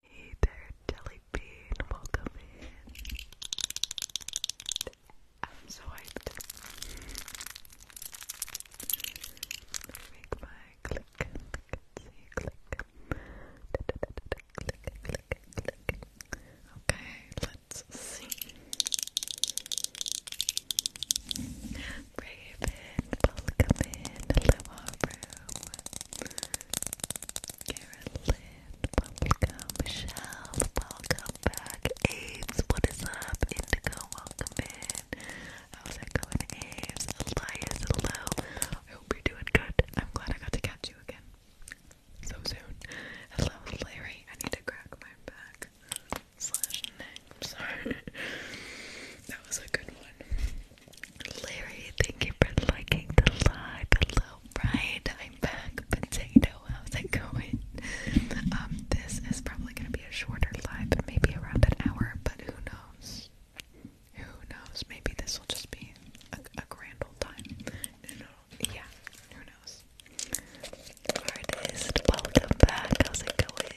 Hey there, Jellybean. Welcome in. I'm so hyped. Let click, click, click. Click, click, Okay, let's see. Raven, welcome in. Hello, Aubrey. Carolyn, welcome. Michelle, welcome back. Aves, what is up? Indigo, welcome in. How's it going, Aves? Elias, hello. I hope you're doing good. I'm glad I got to catch you again so soon. Hello, Larry. I need to crack my back slash neck. sorry. that was a good one. Larry, thank you for liking the live. Hello, I'm back. Potato, how's it going? Um, this is probably gonna be a shorter live, maybe around an hour, but who knows? Who knows? Maybe this will just be a, grand old time. yeah, who knows? Artist, welcome back. How's it going?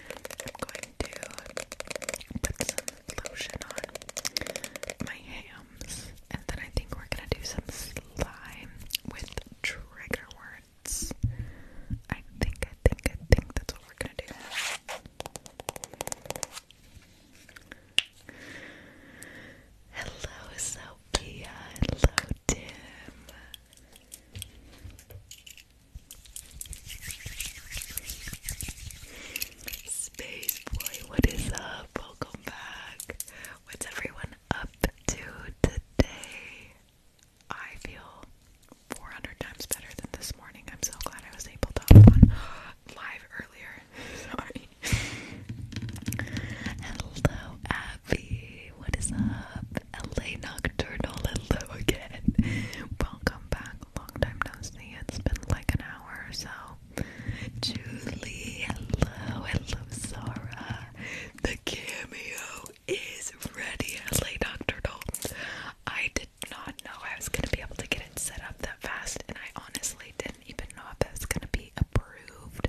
I'm going to put some lotion on my hams, and then I think we're gonna do some slime with trigger words. I think, I think, I think that's what we're gonna do. Hello, Sophia. Hello, Tim. Space what is up? Welcome back. What's everyone up to today? I feel 400 times better than this morning. I'm so glad I was able to hop live earlier. Sorry. Hello, Abby. What is up? LA Nocturnal. Hello again. Welcome back long time no see. It's been like an hour or so. Julie, hello, hello, Sarah. The cameo is ready. Hello, Dr. Dalton. I did not know I was gonna be able to get it set up that fast, and I honestly didn't even know if it was gonna be approved.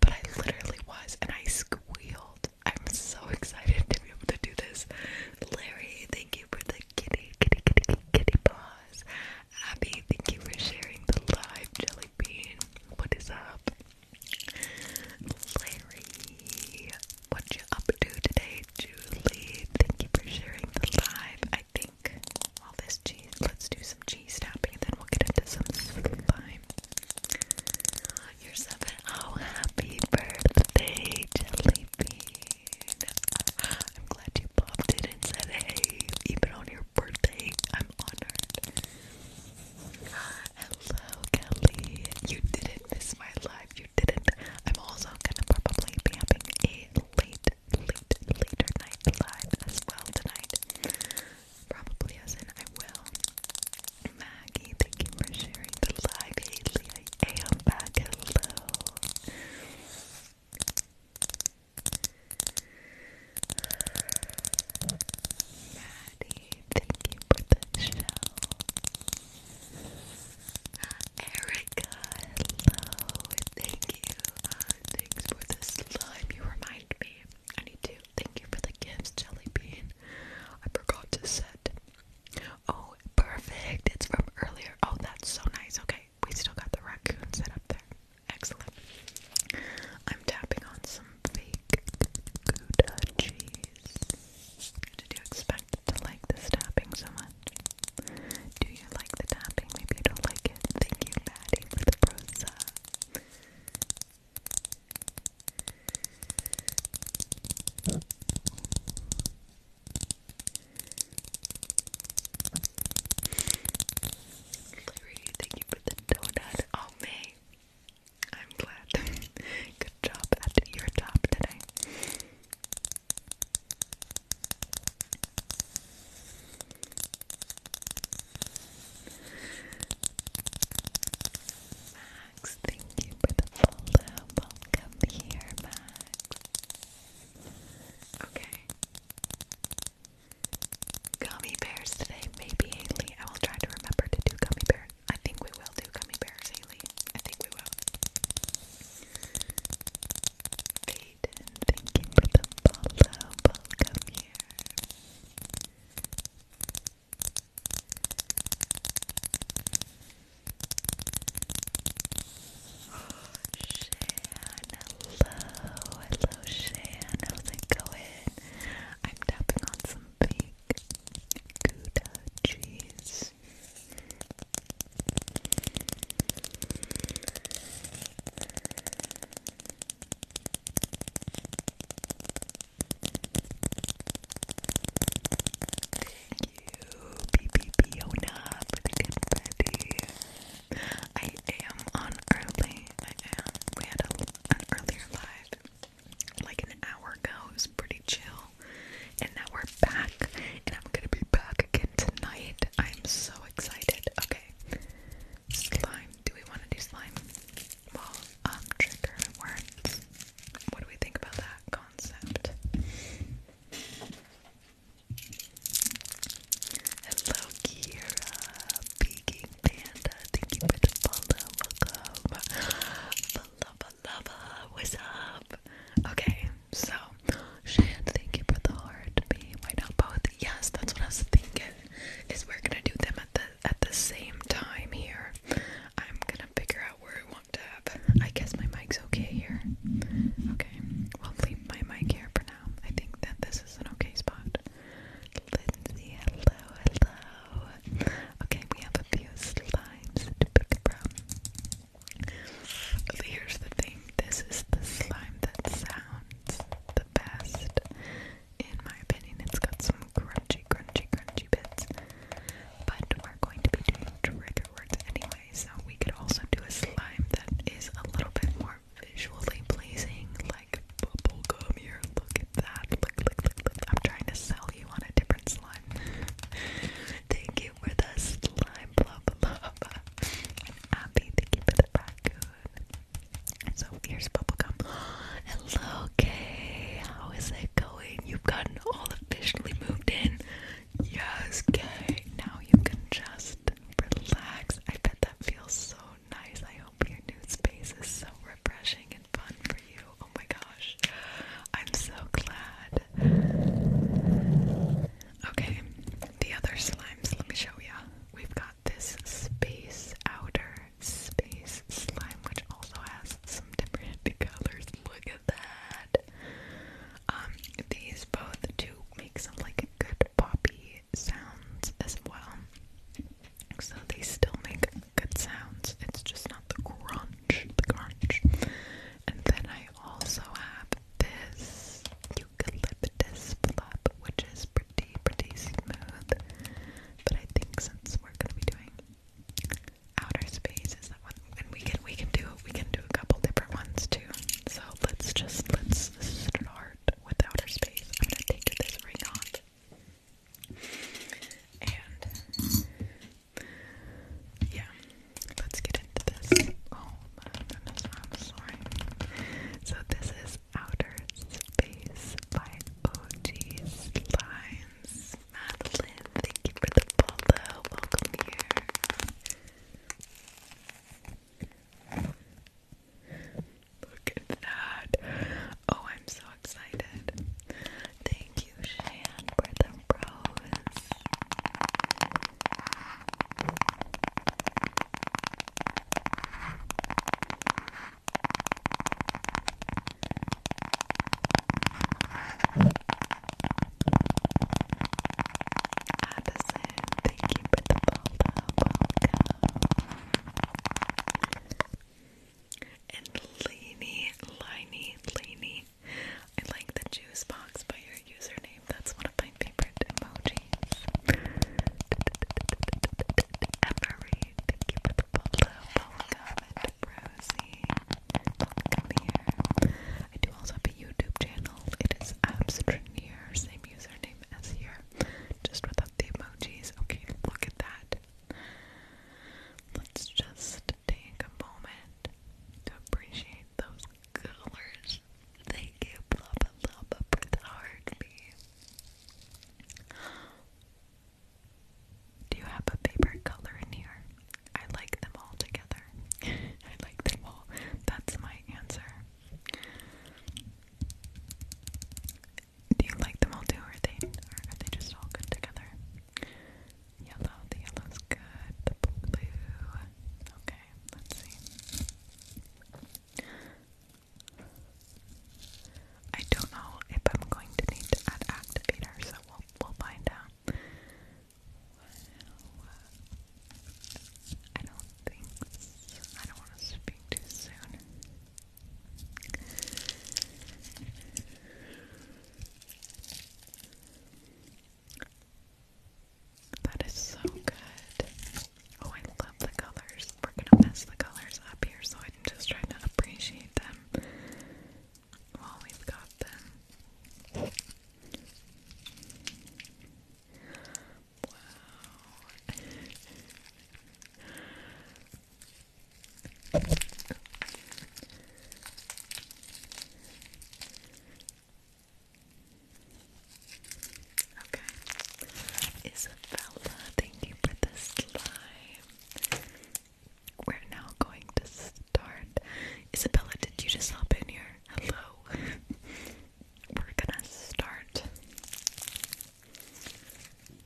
But I literally was, and I squealed. I'm so excited to be able to do this. Larry, thank you for the kitty, kitty, kitty, kitty paws. Abby, thank you for sharing the live jelly bean. What is up? Larry, what you up to today? Julie, thank you for sharing the live. I think all this cheese, let's do some cheese tapping then we'll get into some slime. You're seven. Oh, happy birthday, Jelly Bean. I'm glad you popped in and said hey, even on your birthday. I'm honored. Hello, Kelly. You didn't miss my live. You didn't. I'm also gonna probably be having a late, late, later night live as well tonight. Probably as in I will. Maggie, thank you for sharing the live, I am back. Hello. Maddie, thank you for the show. Erica, hello. Thank you. Thanks for the slime. You remind me. I need to. Thank you for the gifts, Jelly Bean. I forgot to set Oh, perfect. It's from earlier. Oh, that's so nice. Okay, we still got the raccoon set up there. Excellent. I'm tapping on some fake Gouda cheese. Did you expect to like this tapping so much? Do you like the tapping? Maybe you don't like it. Thank you, Maddie, for the prosa. Larry, thank you for the donut. Oh, May. I'm glad. Good job at your job today. Max, thank you for the follow. Welcome here, Max. Okay. Gummy bears today, maybe Haley. I will try to remember to do gummy bears. I think we will do gummy bears, Haley. I think we will. Peyton, thank you for the follow. Welcome here. Shan, hello, hello Shan, how's it going? I'm tapping on some fake Gouda cheese you, BB Fiona, for the confetti. I am on early. I am. We earlier live like an hour ago. It was pretty chill. And now we're back. And I'm gonna be back again tonight. I'm so excited. Okay. Slime. Do we want to do slime? Well, um, trigger words. What do we think about that concept? Hello, Kira, Peking Panda. Thank you for the follow. Welcome. Lava, lava, what's up? Okay, so Shan, thank you for the heart. Me, why not both? Yes, that's what I was thinking. Is we're gonna do them at the at the same time here. I'm gonna figure out where we I guess my mic's okay here. Okay, we'll leave my mic here for now. I think that this is an okay spot. Lindsay, hello, hello. Okay, we have a few slimes to pick from. Here's the thing this is the slime that sounds the best. In my opinion, it's got some crunchy, crunchy, crunchy bits. But we're going to be doing trigger words anyway. So we could also do a slime that is a little bit more visually pleasing, like bubblegum here. Look at that. Look, look, look, I'm trying to sell you on a different slime. thank you for the slime, blah, blah, blah. thank you for the raccoon. So here's bubblegum. Hello, Kay. How is it going? You've gotten all officially moved in. Yes, okay. Now you can just relax. I bet that feels so nice. I hope your new space is so refreshing and fun for you. Oh my gosh. I'm so glad. Okay, the other slimes, let me show you. We've got this space outer space slime, which also has some different colors. Look that. Um, these both do make some like good poppy sounds as well. So they still make good sounds. It's just not the crunch, the crunch. And then I also have this eucalyptus flap, which is pretty, pretty smooth. But I think since we're gonna be doing outer space, and we can we can do we can do a couple different ones too. So let's just let's start with outer space. I'm gonna take this ring off. And yeah, let's get into this. Oh my goodness, I'm sorry. So this is Outer Space by OG Slimes. Madeline, thank you for the follow. Welcome here. Look at that. Oh, I'm so excited. Thank you, Shane, for the rose. Addison, thank you for the welcome. And Lainey, Liney, Lainey. I like the juice box by your username. That's one of my favorite emojis. Emery, thank you for the follow. Welcome and Rosie. Welcome here. I do also YouTube channel. It is Abstraneer, same username as here, just without the emojis. Okay, look at that. Let's just take a moment to appreciate those colors. Thank you, Blubba Blubba, for the heartbeat. Do you have a favorite color in here? I like them all together. I like them all. That's my answer. Do you like them all too, or are they, are they just all good together? Yellow, the yellow's good, the blue. Okay, let's see. I don't know if I'm going to need to add activator, so we'll, we'll find out. I don't think I don't want to speak too soon. That is so good. Oh, I love the colors. We're gonna mess the colors up here, so I'm just trying to appreciate them while we've got them. Isabella, thank you for the slime. We're now going to start. Isabella, did you just hop in here? Hello. We're gonna start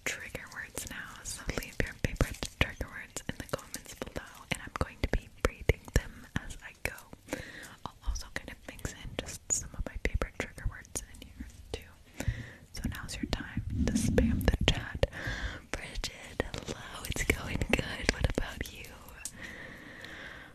trigger words now. So leave your favorite trigger words in the comments below, and I'm going to be breathing them as I go. I'll also kind of mix in just some of my favorite trigger words in here too. So now's your time to spam the chat. Bridget, hello, it's going good. What about you?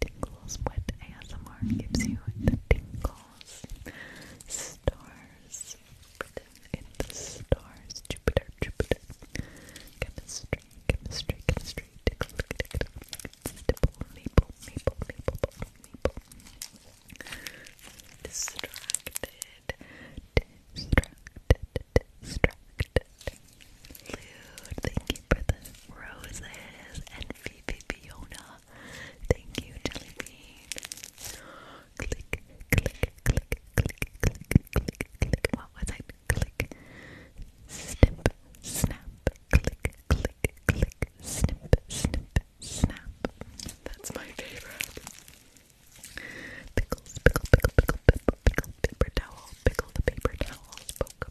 tingles, what ASMR gives you the tingles, stars, it's stars, Jupiter, Jupiter, chemistry, chemistry, chemistry, tickle, tickle, tickle, maple, maple, maple, maple, maple, distracted, distracted, distracted, thank you for the Roses and Fifi Fiona. Thank you, Jelly Bean. Click, click, click, click, click, click, click. What was it? Click, snip, snap, click, click, click, snip, snip, snap. That's my favorite. Pickles, pickle, pickle, pickle, pickle, pickle, paper towel, pickle the paper towel,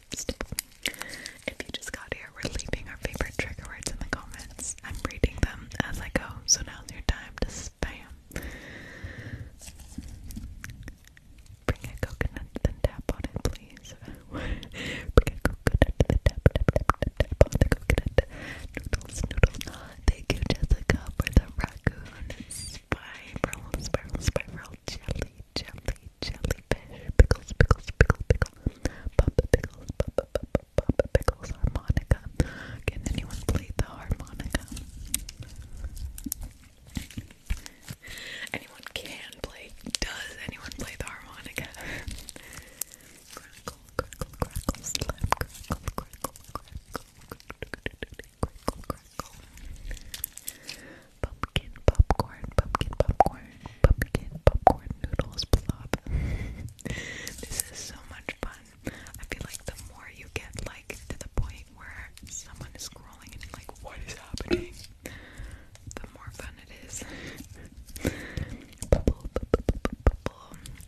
if you just got here, we're leaving our favorite trigger words in the comments. I'm reading them as I go, so now's your time to spam. Bring a coconut, then tap on it, please. Bring a coconut, then tap, tap, tap, tap, on the coconut. Noodles, noodles. Thank you, Jessica, for the raccoon spiral, spiral, spiral, jelly, jelly, jellyfish, pickles, pickles, pickle, pickle, papa pickles, papa, papa, papa pickles, harmonica. Can anyone play the harmonica? Anyone can play. Does anyone play the harmonica? crackle, crackle, crackle, slap, crackle, crackle, crackle crinkle, crinkle. Pumpkin popcorn, pumpkin popcorn, pumpkin popcorn noodles plop. this is so much fun. I feel like the more you get like to the point where someone is scrolling and like, what is happening? The more fun it is.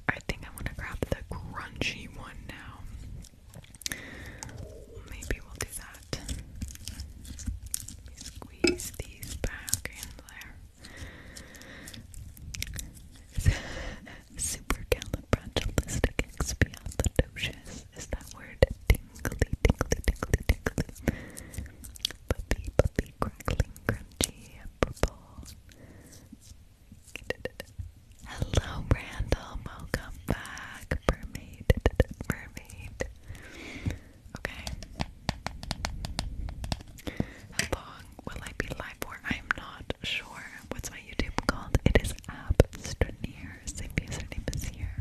I think I want to grab the crunchy one now. Maybe we'll do that. squeeze these back in there. Supercalifragilisticexpialidocious is that word tingly, tingly, tingly, tingly. Puppy, puppy, crackling, crunchy, purple. Hello, Randall. Welcome back, mermaid. Mermaid, mermaid. Okay. How long will I be live for? I'm not sure. What's my YouTube called? It is Abstraneer. Same username is here.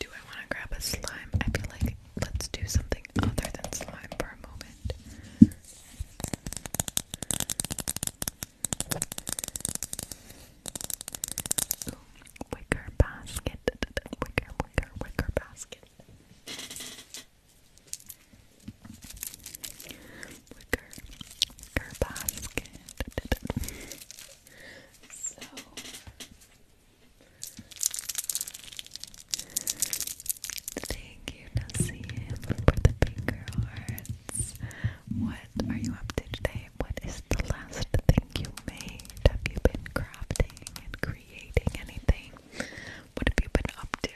Do I want to grab a slime? I feel like let's do something other than slime for a moment. wicker basket. Wicker, wicker, wicker basket. wicker basket. So, Thank you, Nassim, for the finger hearts. What are you up to today? What is the last thing you made? Have you been crafting and creating anything? What have you been up to?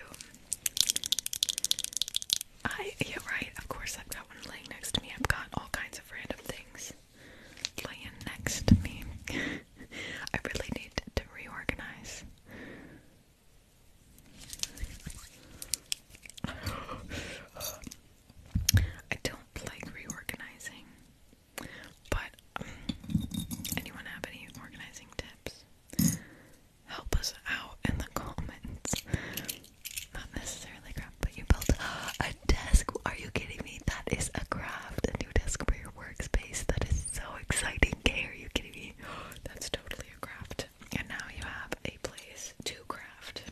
I, yeah, right, of course, I've got one laying next to me. I've got all kinds of random things laying next to me. I really need to reorganize. I don't like reorganizing, but um, anyone have any organizing tips? Help us out in the comments. Not necessarily crap, but you built. desk. Are you kidding me? That is a craft. A new desk for your workspace. That is so exciting. Kay, are you kidding me? That's totally a craft. And now you have a place to craft.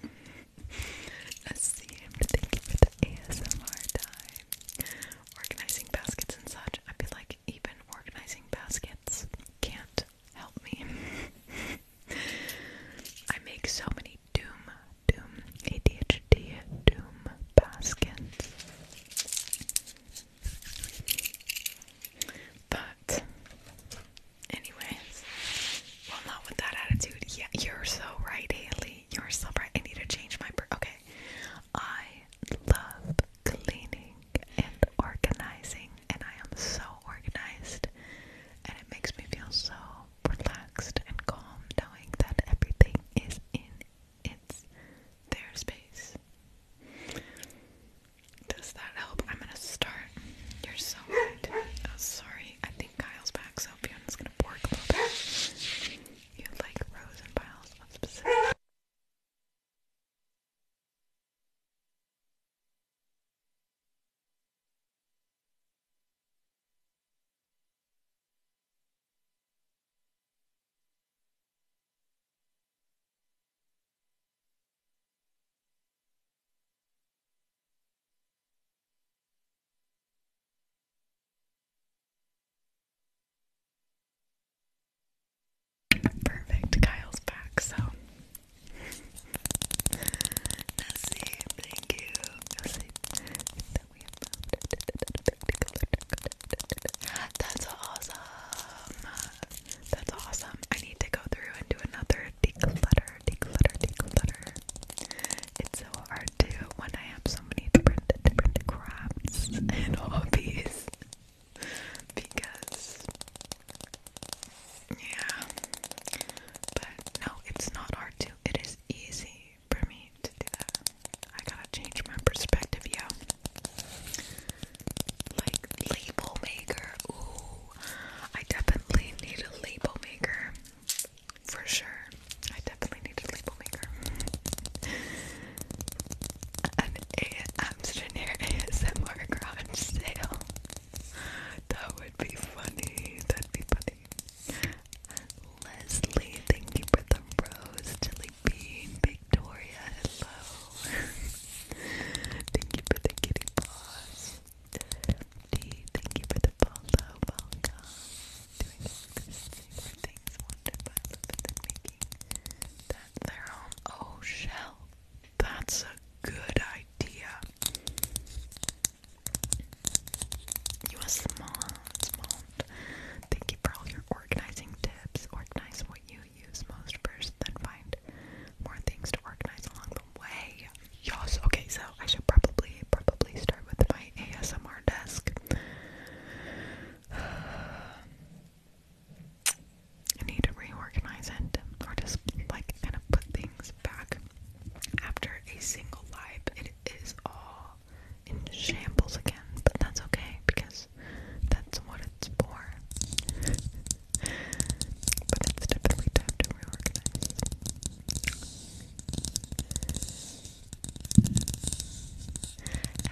Asim, thank you for the ASMR time. Organizing baskets and such. I feel like even organizing baskets can't help me. I make so many doom Doom ADHD Doom Baskins. But anyways, well not with that attitude. Yeah, you're so right, Haley. You're so right. I need to change my okay. I love cleaning and organizing and I am so organized and it makes me feel so relaxed, and calm, knowing that everything is in its their space. Does that help? I'm gonna start. You're so right. Oh, sorry. I think Kyle's back, so Fiona's gonna work a little bit. You like rows and piles of specific. Perfect. Kyle's back, so Nessie, thank you. That's awesome. That's awesome. I need to go through and do another declutter, declutter, declutter. It's so hard to when I have so many different different crafts and hobbies. Because yeah. But no, it's not hard to. It is easy for me to do that. I gotta change my perspective, yo. Like, label maker. Ooh, I definitely need a label maker. For sure. I definitely need a label maker. An a Amsterdam ASMR garage sale. That would be funny. That'd be funny. Leslie, thank you for the rose. Jelly Bean, Victoria, hello. thank you for the kitty paws. D, thank you for the follow. Welcome. Doing all these things wanted by love and making that their own. Oh, shell. That's a good idea. You a small Thank you for all your organizing tips. Organize what you use most first, then find more things to organize along the way. Yes, okay, so I should probably, probably start with my ASMR desk. I need to reorganize it or just like kind of put things back after a single live. It is all in shambles again, but that's okay because that's what it's for. but it's definitely time to reorganize.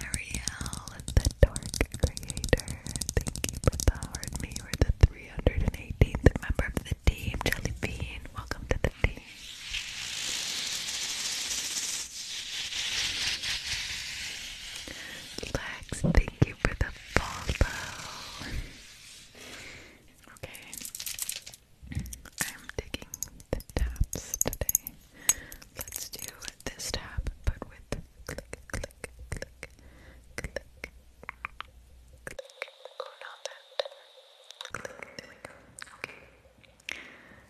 Ariel, the Dark Creator, thank you for powering me. We're the 318th member of the team, Jelly Welcome to empathy. thank you for the follow. Okay, I'm taking the taps today. Let's do this tap, but with click, click, click, click, click. Oh, not that. Okay.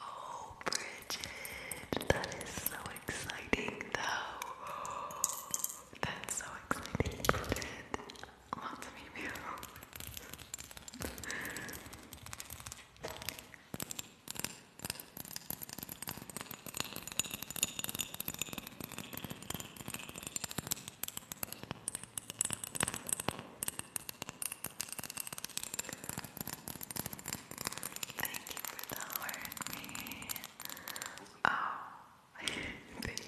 Oh, Bridget, that is so exciting, though. That's so exciting, Bridget. Lots of emails. Thank you for the me. Oh, thank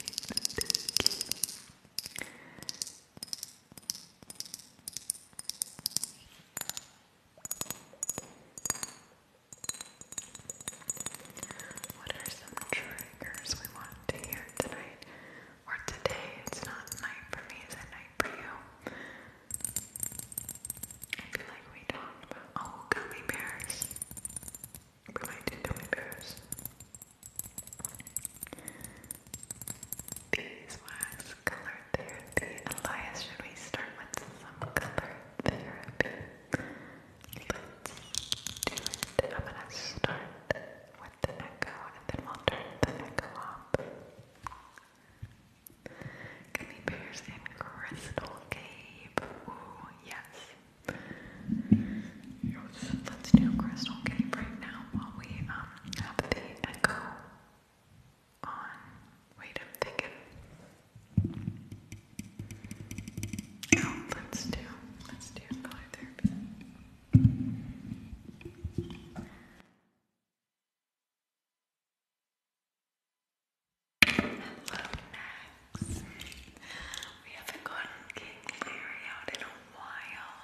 What are some triggers we want to hear tonight? or today. It's not night for me, it's a night for you. I feel like we talked about oh gummy bears. We gummy bears. Beeswax color therapy. Elias, should we start with some color therapy? I'm gonna start with the echo and then we'll turn the echo up. Let's do Crystal Cave right now while we um have the echo on. Wait, I'm thinking. Oh, let's do let's do color therapy. Hello, Max. We haven't gotten King Leary out in a while.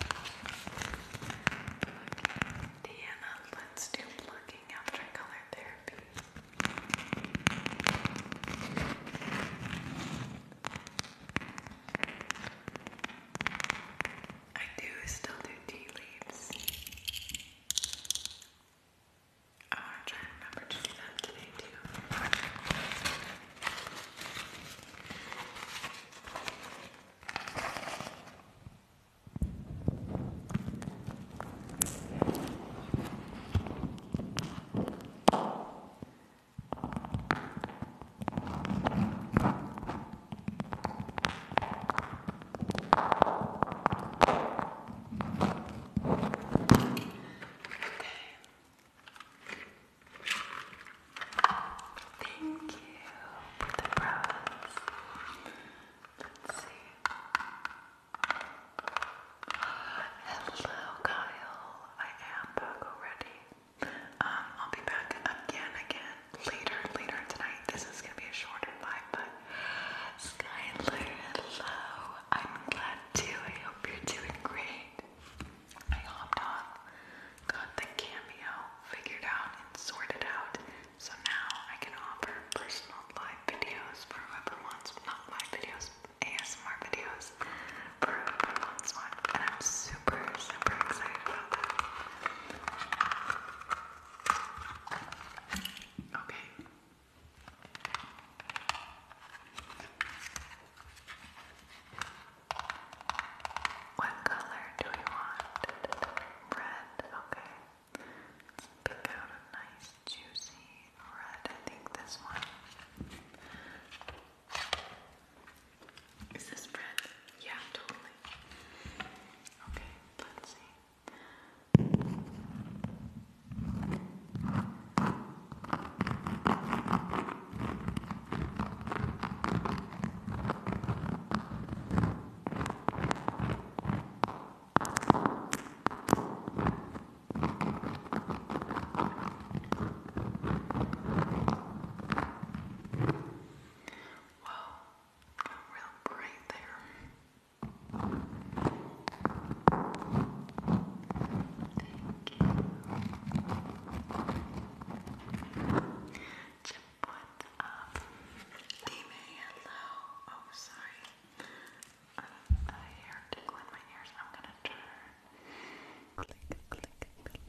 Plugging. let's do plugging after color therapy. I do still do tea leaves. I want to remember to do that today too. Thank you the bras. Let's see. Hello, Kyle. I am back already. Um, I'll be back again, again later, later tonight. This is gonna be a shorter live, but Skylar, hello. I'm glad too. I hope you're doing great. I hopped on, got the cameo figured out and sorted out. So now I can offer personal live videos for whoever wants, not live videos, ASMR videos for whoever wants one. And I'm so super, super excited about that. Okay. What color do we want? Red, okay. Let's pick out a nice juicy red. I think this one. Is this bread? Yeah, totally. Okay, let's see. Wow, got real bright there. Thank you. Chip, what's up? Dime, hello. Oh, sorry. I am gonna turn. Click, click, click.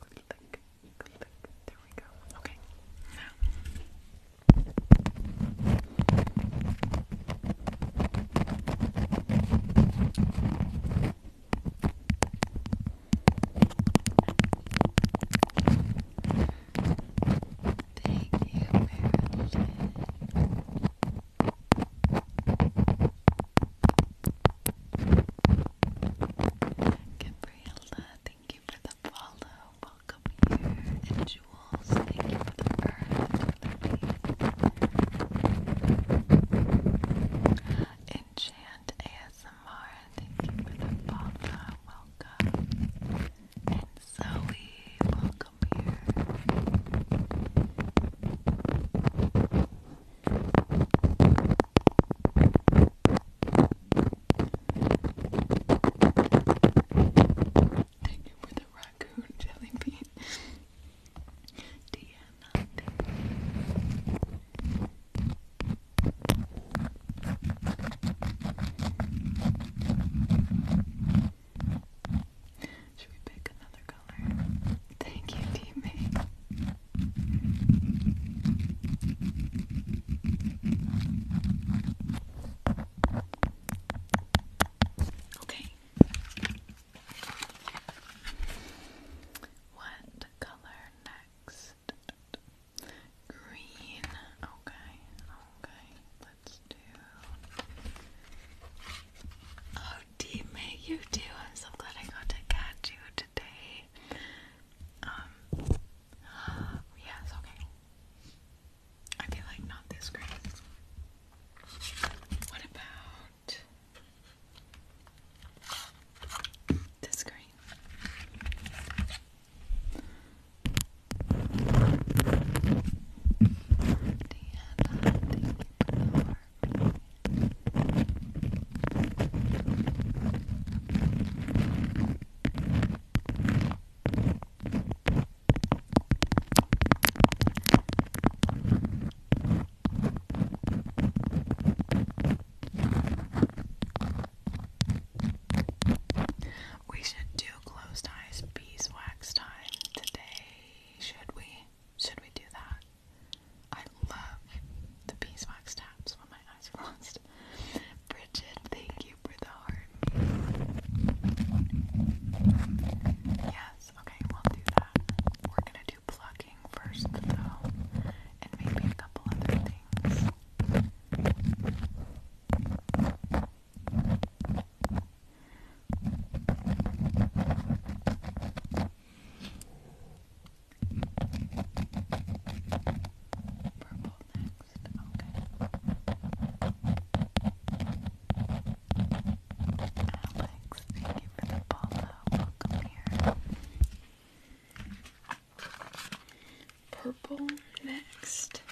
Click, click. There we go. Okay. Now. Thank you, Gabriella, thank you for the follow. Welcome here. And Jules, thank you the earth. thank you for the follow. Welcome. And Zoe, welcome here. Thank you for the raccoon jelly bean. Deanna, should we pick another color? Thank you, teammate. Okay. What color next? Green. Okay. Okay. Let's do. Oh, teammate, you do. I'm so glad I got to catch you today. Um, yes, okay. I feel like not this great. What about this screen? thank you we should do closed eyes beeswax time today, should we? Should we do that? I love the Beeswax taps when my eyes are lost. Bridget, thank you for the heart. Yes, okay, we'll do that. We're gonna do plucking first, though, and maybe a couple other things. Purple next, okay. Alex, thank you for the follow. Welcome here. Purple next.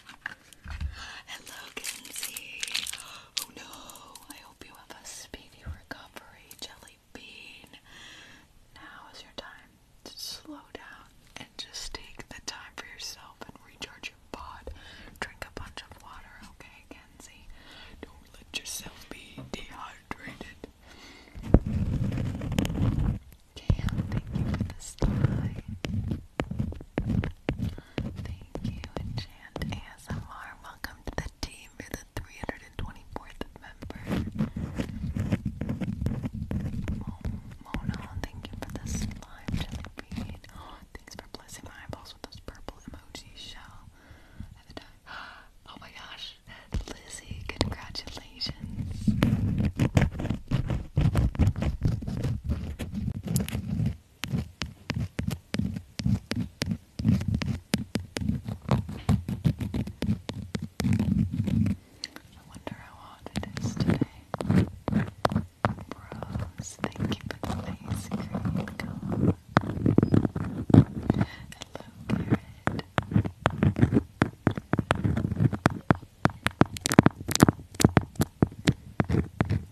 Hello, Kinsey. Oh no, I hope you have a speedy recovery, Jelly now is your time to slow down and just take the time for yourself and recharge your pod. Drink a bunch of water, okay, Kenzie? Don't let yourself be dehydrated. Cam, thank you for the slide. Thank you, Enchant ASMR. Welcome to the team. you the 324th member. Oh, Mona, thank you for the slime jelly bean. thanks for blessing my eyeballs with those purple emoji shell. Oh my gosh, Lizzie, congratulations. I wonder how hard it is today. Rose, thank you for the lazy Hello, Garrett.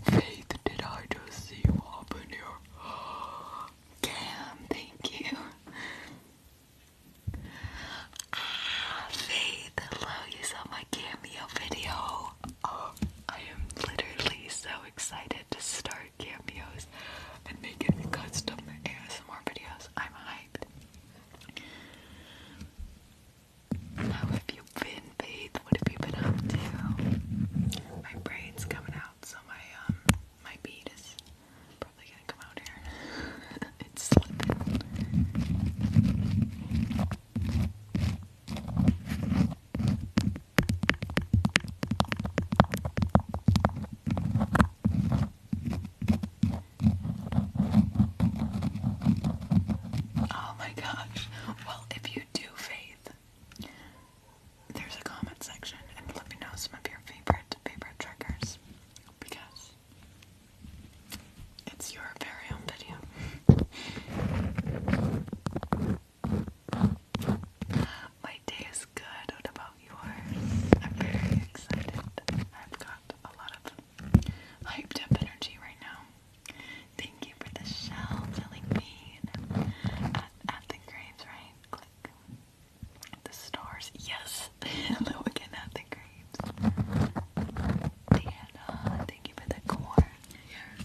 Faith, did I just see you up in here? Cam, thank you. Ah, Faith, hello, you saw my cameo video. Oh, I am literally so excited to start cameos and making custom ASMR videos. I'm hyped. How have you been, Faith? What have you been up to? My brain's coming out, so my um my bead is Probably gonna come out here. it's slipping. Oh my gosh. Well, if you do faith, there's a comment section and let me know some of your favorite favorite triggers because it's your very own video. My day is good. about yours? I'm very excited. I've got a lot of hyped up energy right now. Thank you for the shell telling me at, at the graves, right? Click. The stars. Yes. Hello again at the grapes. Diana, thank you for the corn. Yeah.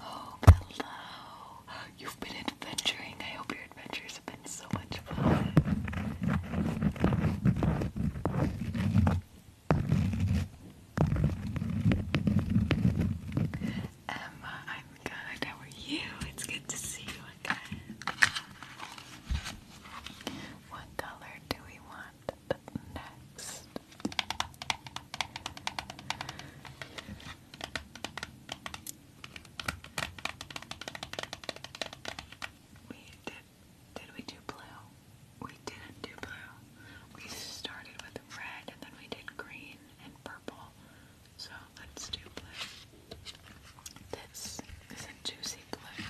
Oh, hello. You've been adventuring. I hope your adventures have been so much fun. Emma, I'm good. How are you? It's good to see you again. What color do we want next? We did did we do blue? We didn't do blue. We started with red and then we did green and purple. So let's do blue. This is a juicy blue.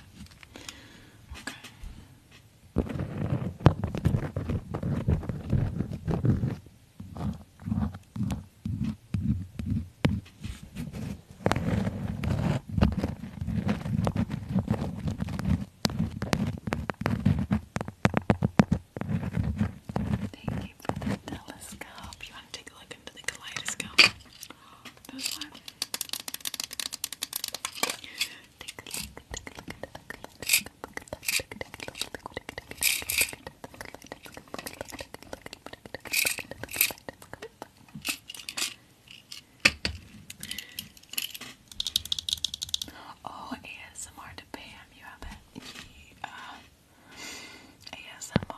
Okay. Thank you for the telescope. You want to take a look into the kaleidoscope? This one. Take a look, take a look at the kaleidoscope. Oh, ASMR to Pam, you have it. Uh, ASMR.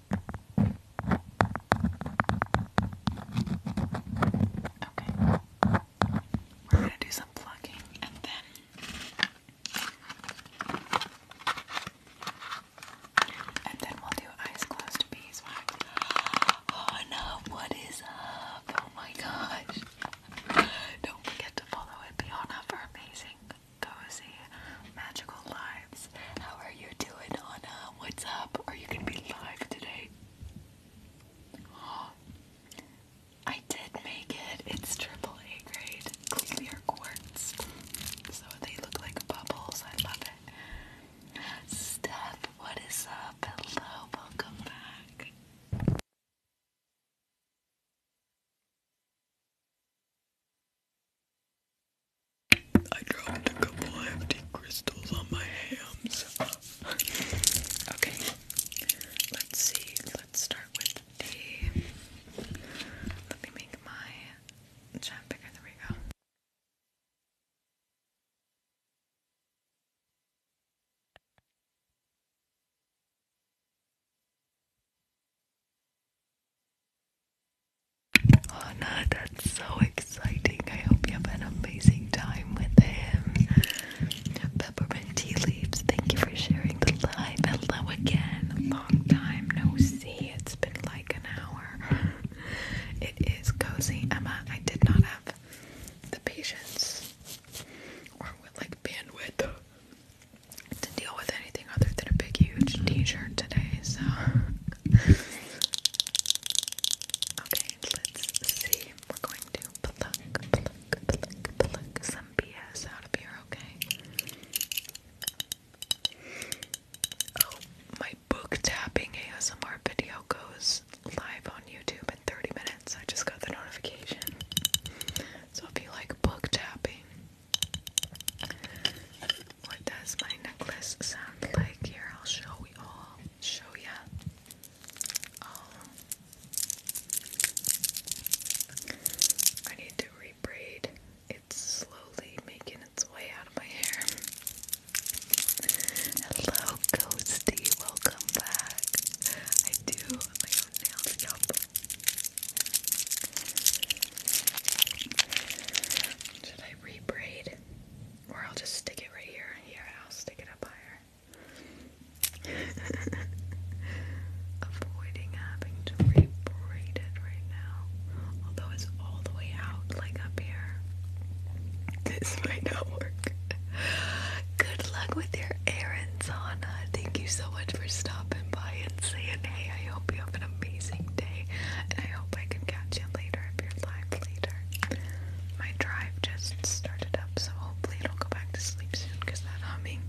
Okay. We're going to do some plugging and then and then we'll do eyes closed beeswax. Oh what is up? Oh my gosh. Don't forget to follow it. Beyond her amazing cozy, magical lives. How are you doing, Anna? What's up? Are you gonna be live today? I did make it. It's triple A grade clear quartz. So they look like bubbles. I love it. Steph, what is up? Hello, welcome back. I dropped a couple empty crystals on my hands. okay, let's see. Let's start with the. Let me make my jam picker. There we go. Oh that's so exciting. I hope you have an amazing time with him. Peppermint tea leaves, thank you for sharing the live. Hello again. Long time no see. It's been like an hour. It is cozy. Emma, I did not have the patience or like bandwidth to deal with anything other than a big, huge t-shirt today, so... okay, let's see. We're going to pluck, pluck, pluck, pluck some BS out of here, okay? Oh, my book tapping ASMR video goes live on YouTube in 30 minutes. I just got the notification. So if you like book tapping, what does my necklace sound like? Here, I'll show you all. Show ya. Um, I need to rebraid. It's slowly making its way out of my hair. Hello, Ghosty. Welcome back. I do my own nails. Yup. Should I rebraid? Or I'll just stick it right here. Yeah, I'll stick it up higher. Avoiding having to rebraid it right now. Although it's all the way out, like up here. This might not work. Good luck with your errands, Anna. Thank you so much for stopping by hey, I hope you have an amazing day, and I hope I can catch you later if you're live later. My drive just started up, so hopefully it'll go back to sleep soon, because that humming,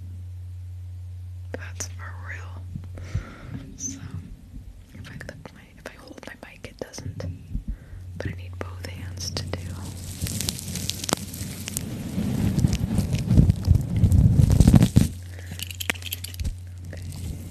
that's for real. So, if I if I hold my mic, it doesn't, but I need both hands to do. Okay.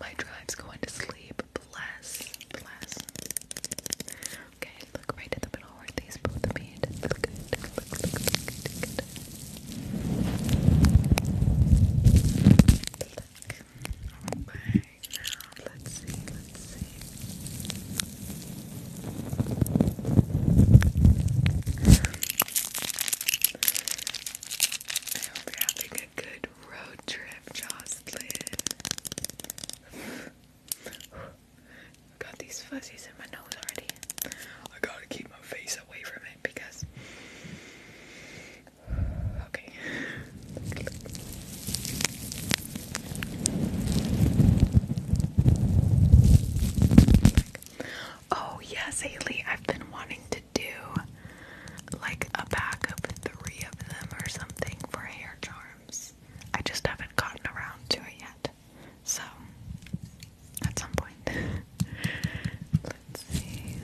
My drive's going to sleep. Bless, bless. Okay, look right in the middle where these both meet. Look good let's see, let's see. I hope you're having a good road trip, Jocelyn. Got these fuzzies in my nose already. I gotta keep my face away from it because. Oh, yes, Haley, I've been wanting to do like a pack of three of them or something for hair charms. I just haven't gotten around to it yet. So, at some point. Let's see.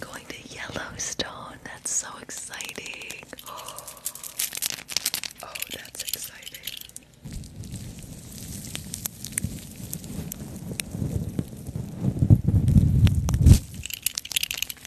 Going to Yellowstone. That's so exciting. Oh, oh that's exciting.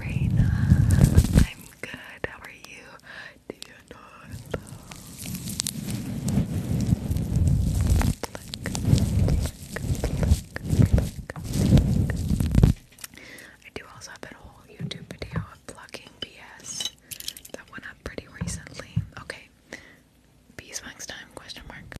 Raina, I'm good. How are you? Do you know I do also have that whole YouTube video of plucking BS that went up pretty recently. Okay, beeswax time? Question mark.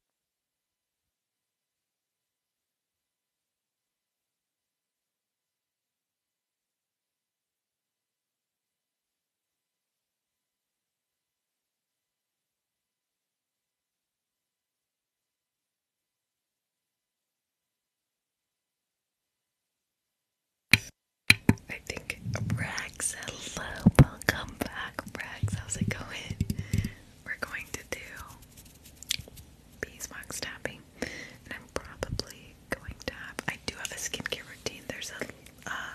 I think Rags, hello, welcome back, Rags. How's it going? We're going to do beeswax tapping, and I'm probably going to have. I do have a skincare routine. There's a, uh,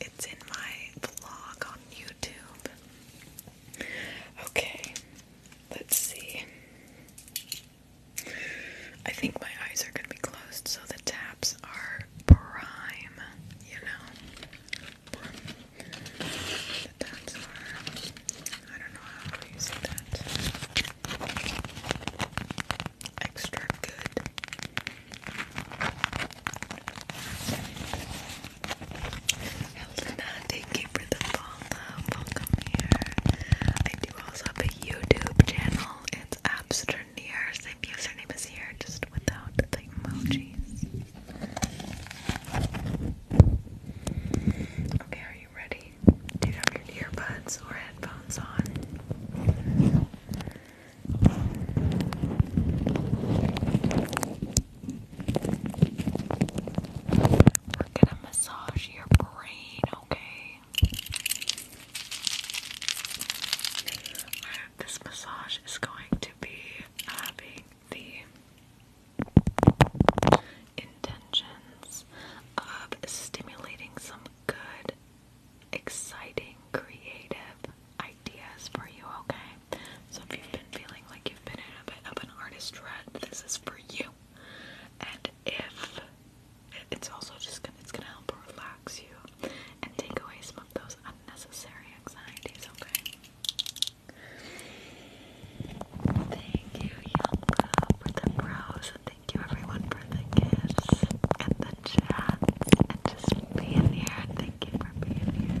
it's in my vlog on YouTube. Okay, let's see. I think my eyes are gonna be closed, so the taps are prime. You know that that's for. I don't know how Welcome here. I do also have a YouTube channel. It's Absternear. Same username is here, just without the emojis. Okay, are you ready? Do you have your earbuds or headphones on? We're gonna massage your brain, okay? This massage is going to be having the intentions of stimulating some good, exciting, creative ideas for you, okay? So if you've been feeling like you've been a bit of an artist rut, this is for you. And if it's also just gonna, it's gonna help relax you and take away some of those unnecessary anxieties, okay? Thank you, Yelka, for the bros, and thank you everyone for the kiss and the chat and just being here. thank you for being here.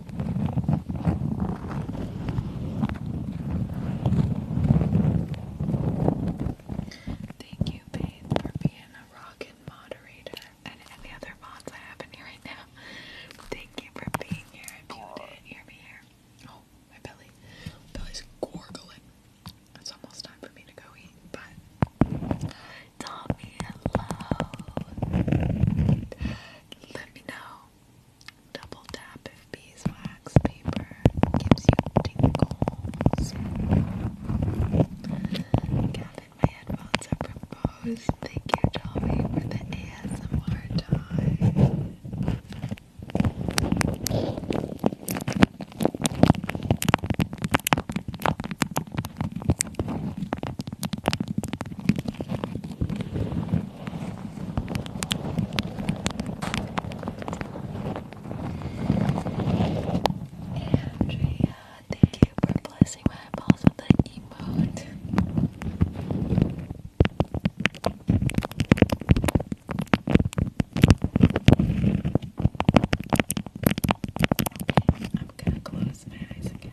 Thank you, Babe, for being a rockin' moderator and any other mods I have in here right now. Thank you for being here. If you didn't hear me here, oh, my belly, belly's gorgling. It's almost time for me to go eat, but Tommy, hello. Let me know Double tap if beeswax paper gives you tingles. Gavin, my headphones are proposed. Thank you, Tommy, for the ASMR time. Andrea, thank you for blessing my balls with the emote. I'm gonna close my eyes again.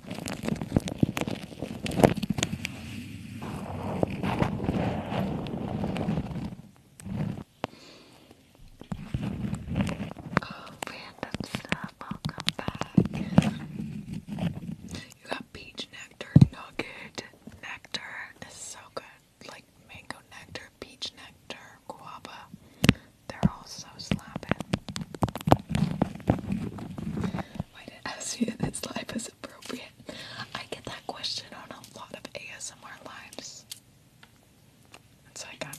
Oh, random stuff. Welcome back. You got peach nectar nugget. Nectar is so good. Like mango nectar, peach nectar, guava. They're all so slapping avoid it as soon as life is appropriate. I get that question on a lot of ASMR lives. It's I'm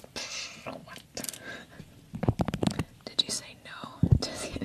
Did you say no?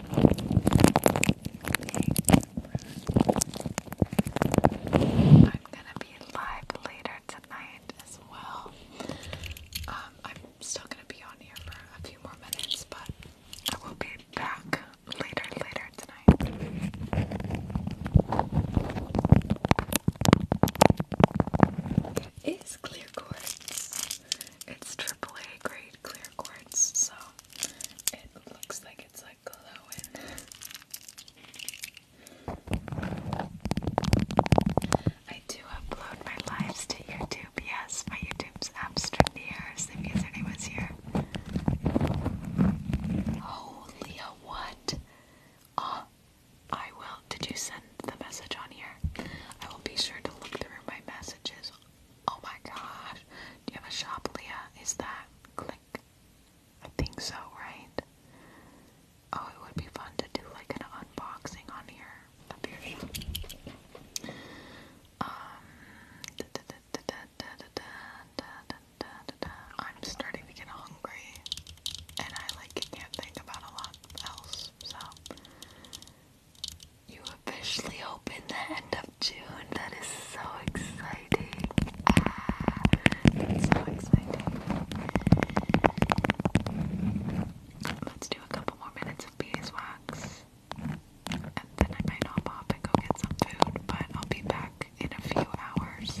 I'm gonna be live later tonight as well. Um, I'm still gonna be on here for a few more minutes, but I will be back later, later tonight. It is clear quartz. It's AAA grade clear quartz, so it looks like it's like glowing. I do upload my lives to YouTube, yes, my YouTube's abstract ears, if username was here. Oh, Leah, what? Oh, I will. Did you send the message on here? I will be sure to look through my messages Oh my god! Do you have a shop, Leah? Is that click? I think so, right? Oh, it would be fun to do like an unboxing on here I'm starting to get hungry and I like can't think about a lot else, so you officially open the end of June. That is so exciting. so exciting. Let's do a couple more minutes of beeswax. And then I might hop off and go get some food, but I'll be back in a few hours.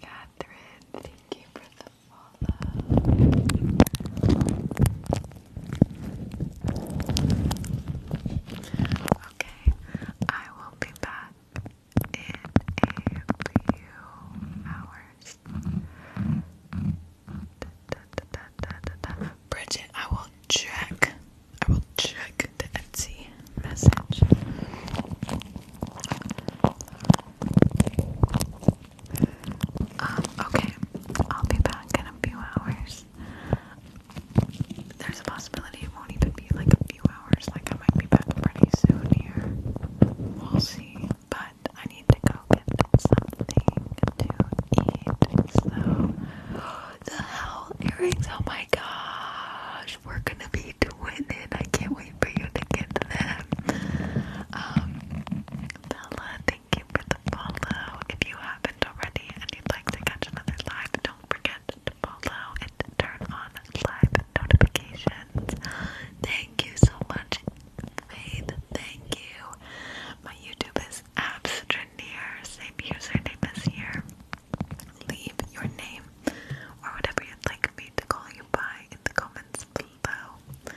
Catherine, thank you for the follow. Okay, I will be back in a few hours. Bridget, I will check. I will check the Etsy message. Um, okay, I'll be back in a few hours. There's a possibility it won't even be like a few hours, like I might be back pretty soon here. We'll see. But I need to go get something to eat. So, the hell earrings, oh my gosh, we're gonna be doing it. I can't wait for you to get them. Um, Bella, thank you If you haven't already and you'd like to catch another live, don't forget to follow and turn on live notifications. Thank you so much, Faith. Thank you. My YouTube is abstraneer, same username as here. Leave your name or whatever you'd like me to call you by in the comments below.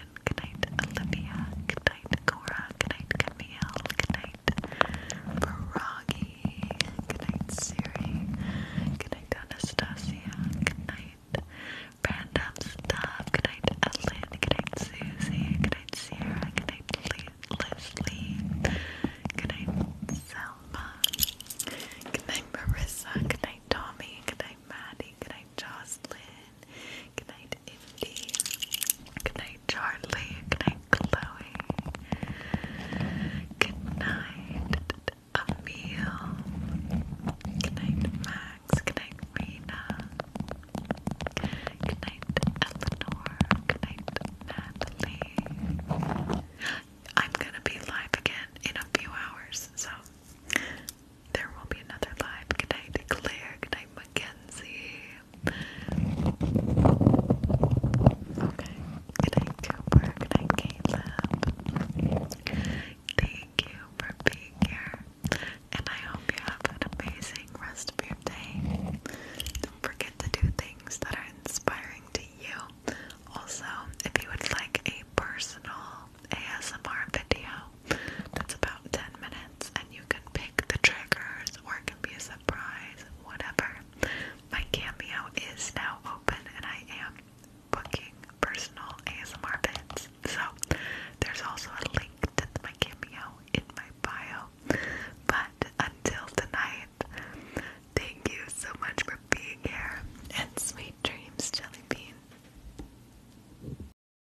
Good night, Olivia. Good night, Cora. Good night, Camille. Good night, Froggy. Good night, Siri. Good night, Anastasia. Good night, Random Stuff. Good night, Ellen. Good night, Susie. Good night, Sierra. Good night, Leslie. Good night, Selma. Good night, Marissa. Good night, Tommy. Good night, Maddie. Good night, Jocelyn. Good night, Indy. Good night, Charlie. Good night, Chloe. Good night, Emil. Good night, Max. Good night, Rena. Good night, Eleanor. Good night, Natalie. I'm gonna be live again in a few hours, so there will be another live. Good night, Claire. Good night, Mackenzie. Okay. Good night, Cooper. Good night, Caleb. Thank you for being here. And I hope you have an amazing rest of your day. Don't forget to do things that are inspiring to you. Also, if you would like a personal ASMR video, that's about 10 minutes, and you can pick the triggers or it can be a surprise, whatever. My cameo is now open, and I am booking personal ASMR bits. So there's also a link to my cameo in my bio. But until tonight, thank you so much for being here and sweet dreams, Jelly Bean.